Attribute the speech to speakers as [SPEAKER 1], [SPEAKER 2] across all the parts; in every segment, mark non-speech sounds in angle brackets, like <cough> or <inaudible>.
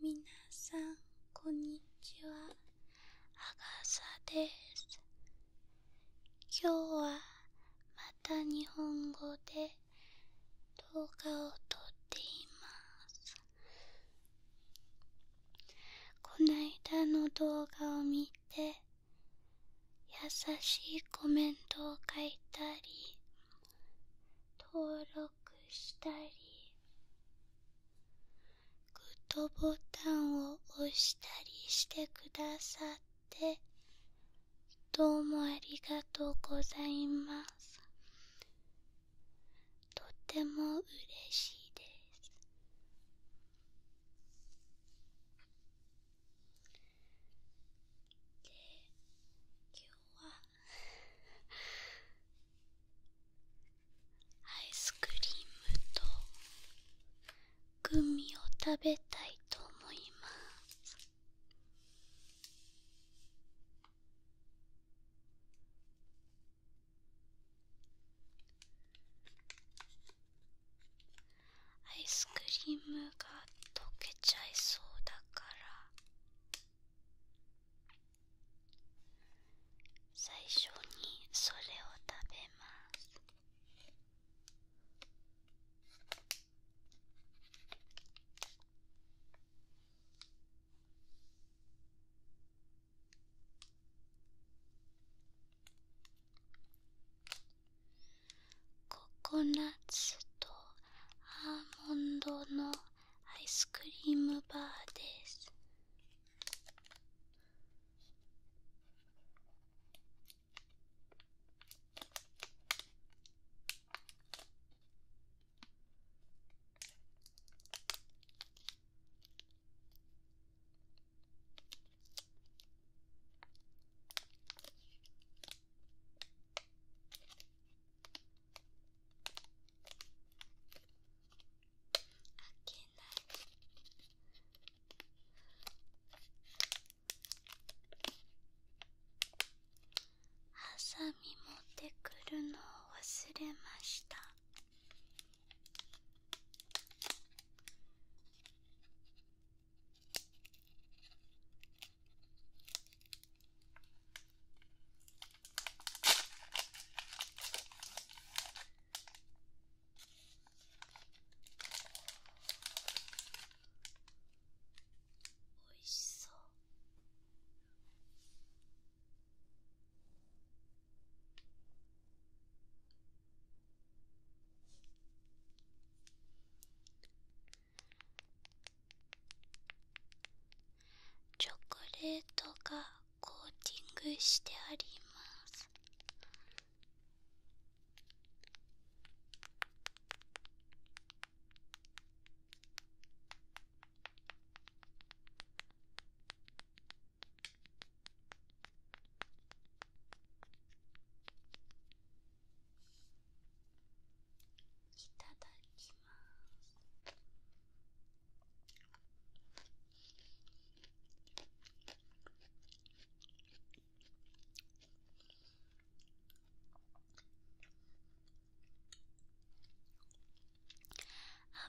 [SPEAKER 1] みなさんこんにちはあがさです今日はまた日本語で動画を撮っていますこないだの動画を見て優しいコメントを書いたり登録したりグッドボタンを押したりしてくださってどうもありがとうございますとても嬉しいですで今日はアイスクリームとグミを食べたいと思いますアイスクリームが溶けちゃいそうだから最初にそれを食べますココナッツとアーモンドのアイスクリームバーですハサミ持ってくるのを忘れましたおいしそう。チョコレートがコーティングしてありますいただきます。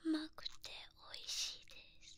[SPEAKER 1] 甘くておいしいです。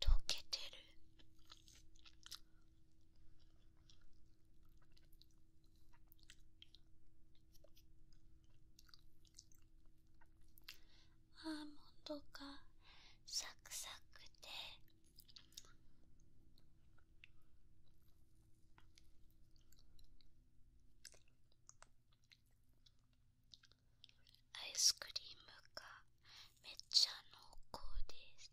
[SPEAKER 1] 溶けてるアーモンドがサクサクでアイスクリームがめっちゃ濃厚です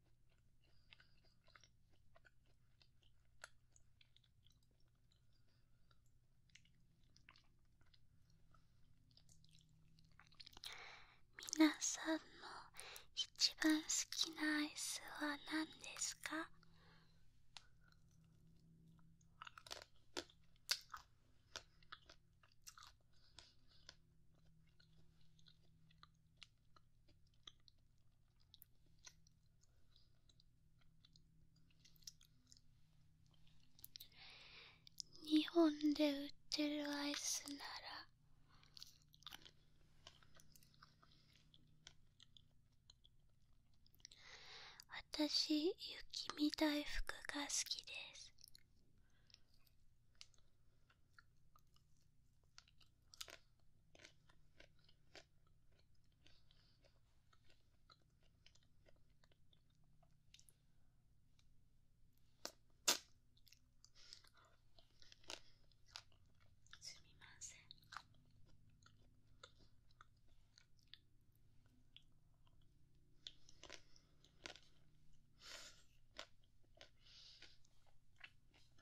[SPEAKER 1] 皆さんの一番好きなアイスは何ですか日本で売ってるアイスなら私雪見だいふくが好きですすみません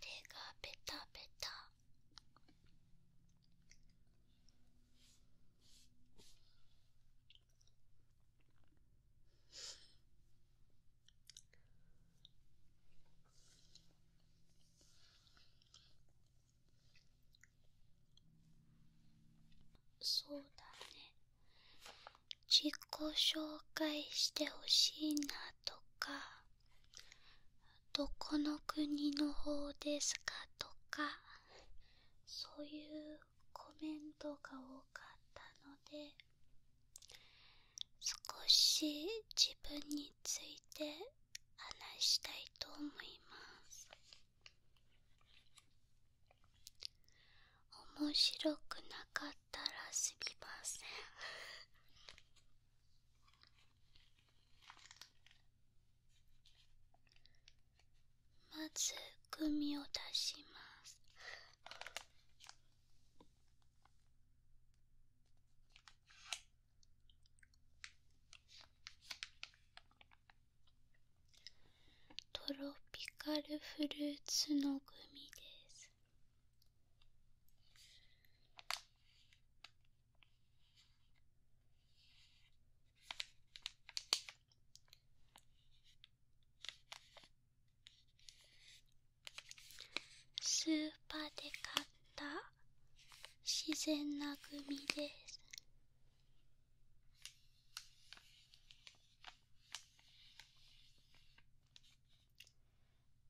[SPEAKER 1] 手がベタベタそうだね自己紹介してほしいなとかどこの国の方ですかとかそういうコメントが多かったので少し自分について話したいと思います面白くなかったらすみませんまずグミを出しますトロピカルフルーツのグミですスーパーで買った自然なグミです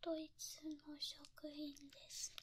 [SPEAKER 1] ドイツの職員ですね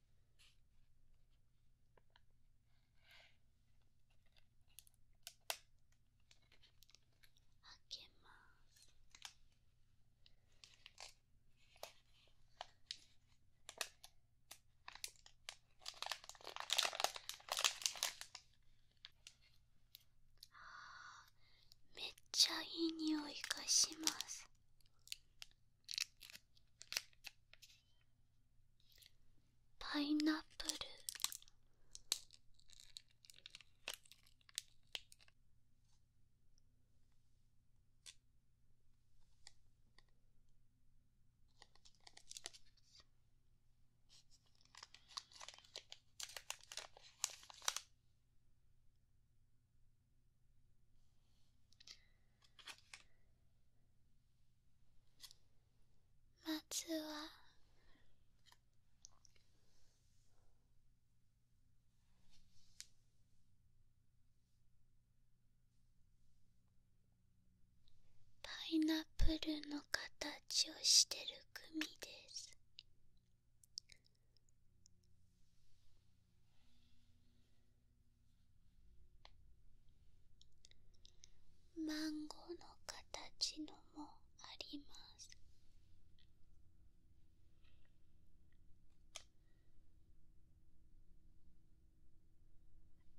[SPEAKER 1] けます。あーめっちゃいい匂いがします。パイナップルまずはパイナップルの形をしてる組ですマンゴーの形のもあります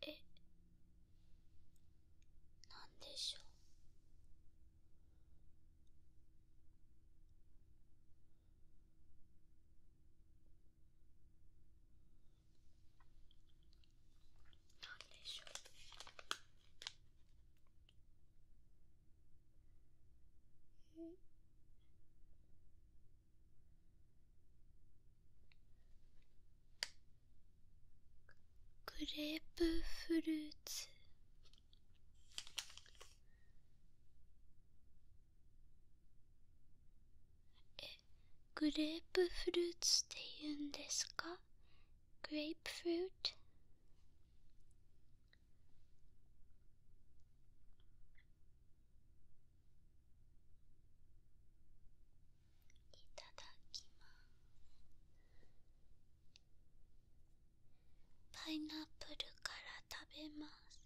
[SPEAKER 1] えなんでしょうなでしょうグレープフルーツえグレープフルーツっていうんですかグレープフルーツいただきますパイナップルから食べます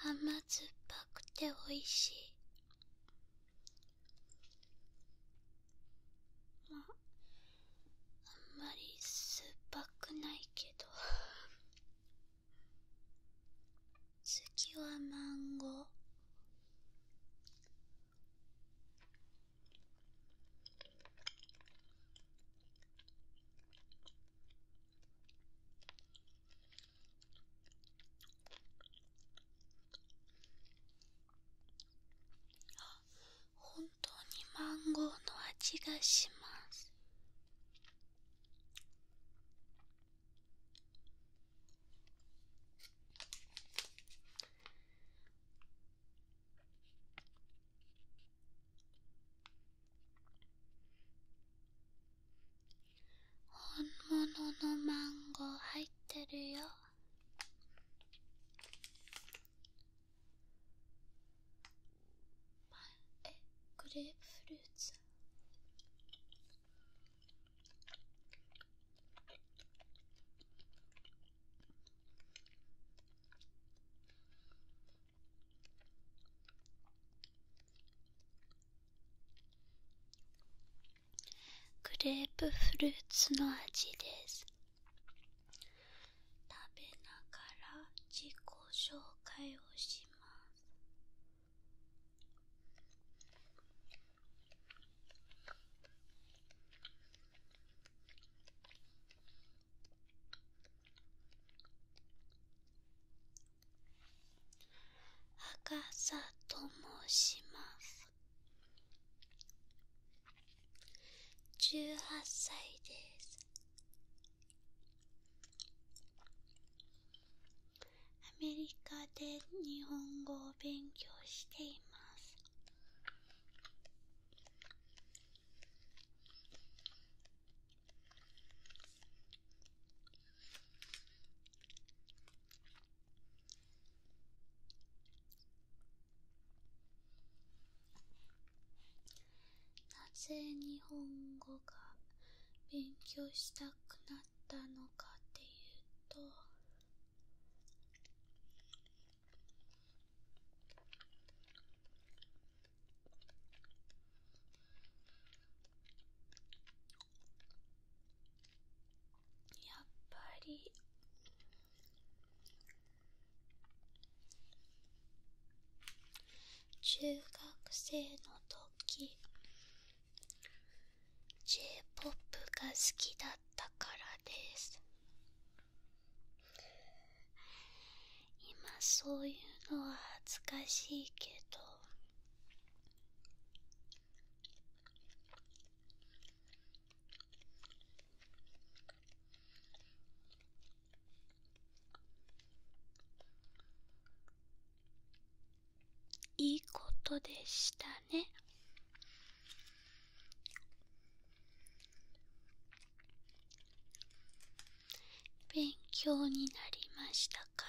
[SPEAKER 1] 甘酸っぱくておいしいまああんまり酸っぱくないけど次はマンゴー本当にマンゴーの味がします本物のマンゴー入ってるよえグレープフルーツグレープフルーツの味です食べながら自己紹介をします赤さと申します18歳ですアメリカで日本語を勉強していますなぜ日本語が勉強したくなったのかっていうとやっぱり中学生の時 j p o p が好きだったからです今そういうのは恥ずかしいけどいいことでしたね。勉強になりましたから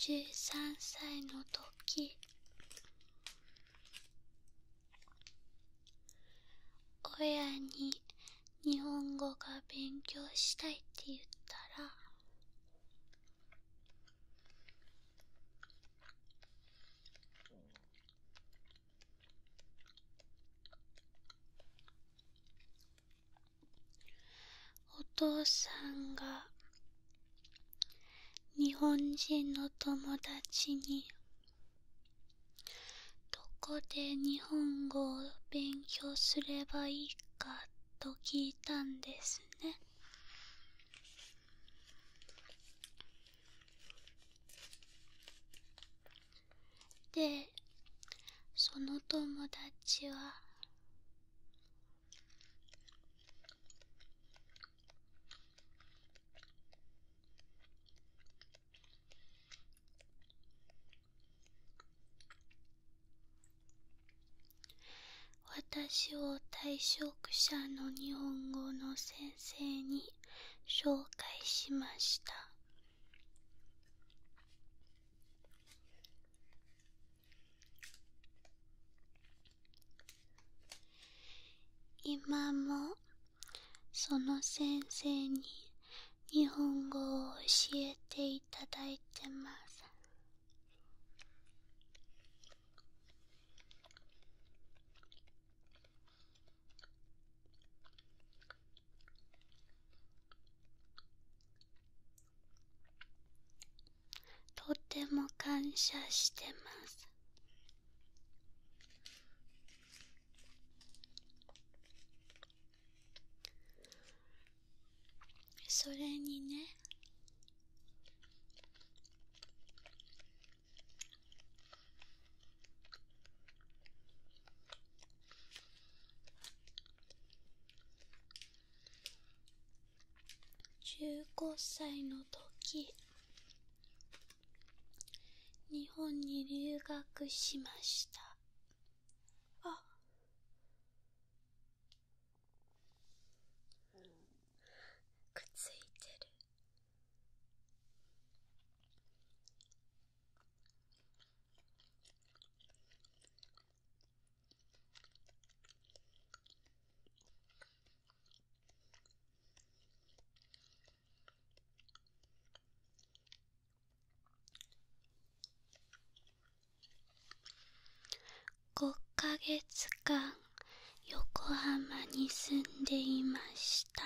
[SPEAKER 1] 13歳の時親に日本語が勉強したいって言ったらお父さんが日本人の友達にどこで日本語を勉強すればいいかと聞いたんですねでその友達は私を退職者の日本語の先生に紹介しました今もその先生に日本語を教えていただいてますとても感謝してますそれにね15歳の時日本に留学しましたあくっついてる5ヶ月間横浜に住んでいました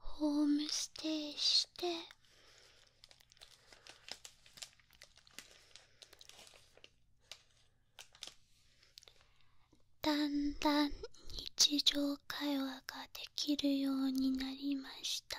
[SPEAKER 1] ホームステイしてだんだん日常会話ができるようになりました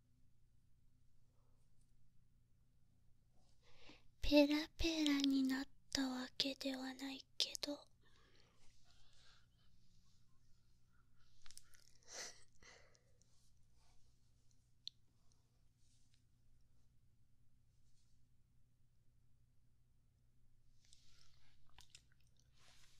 [SPEAKER 1] ペラペラになったわけではないけど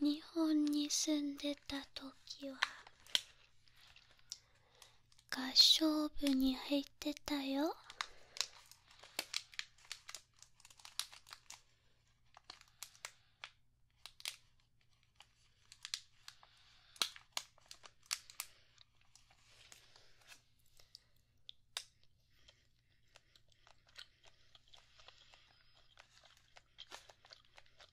[SPEAKER 1] 日本に住んでた時は合唱部に入ってたよ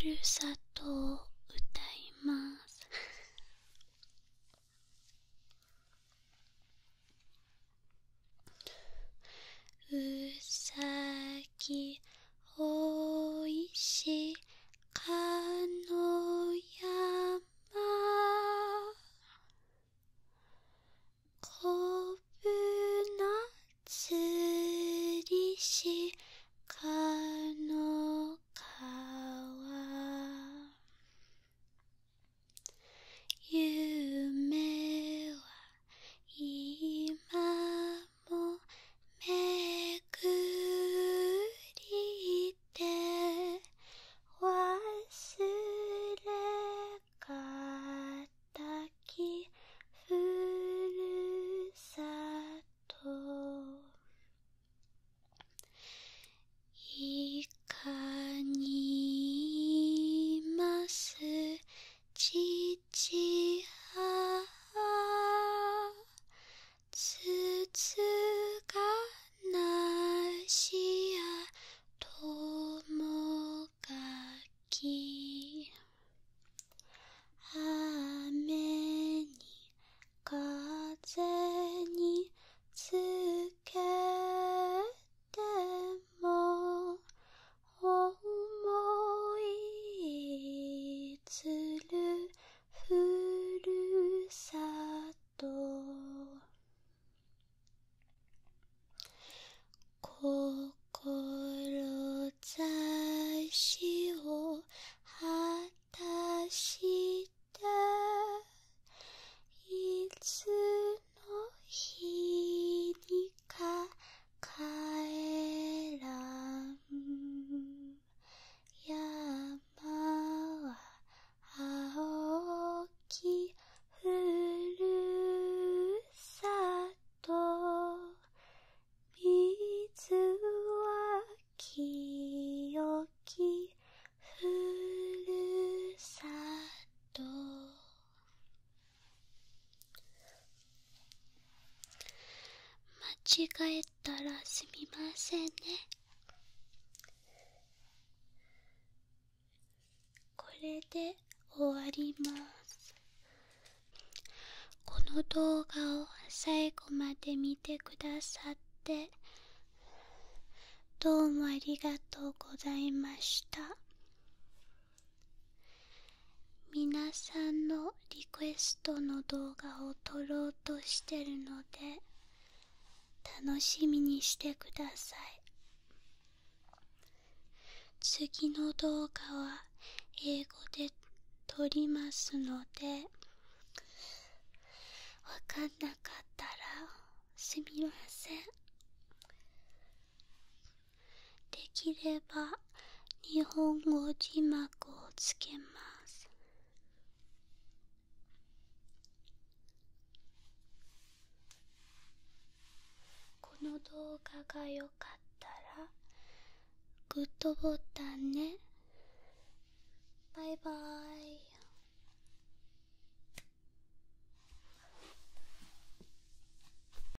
[SPEAKER 1] ふるさとを歌います。う <laughs> さきおいしかのやま」「こぶなつりしかのかわ」「めはいま。もめぐりて忘れかたきふるさといかにいます父母つつがなしやともがき雨に風につけても思いつるふるさと心志を果たしていつの日にかかえらん山は青きふるさと水は清きふるさと間違えたらすみませんねこれで終わりますこの動画を最後まで見てくださってどうもありがとうございました皆さんのリクエストの動画を撮ろうとしてるので楽しみにしてください次の動画は英語で撮りますのでわかんなかったらすみませんできれば日本語字幕をつけますこの動画が良かったらグッドボタンねバイバイ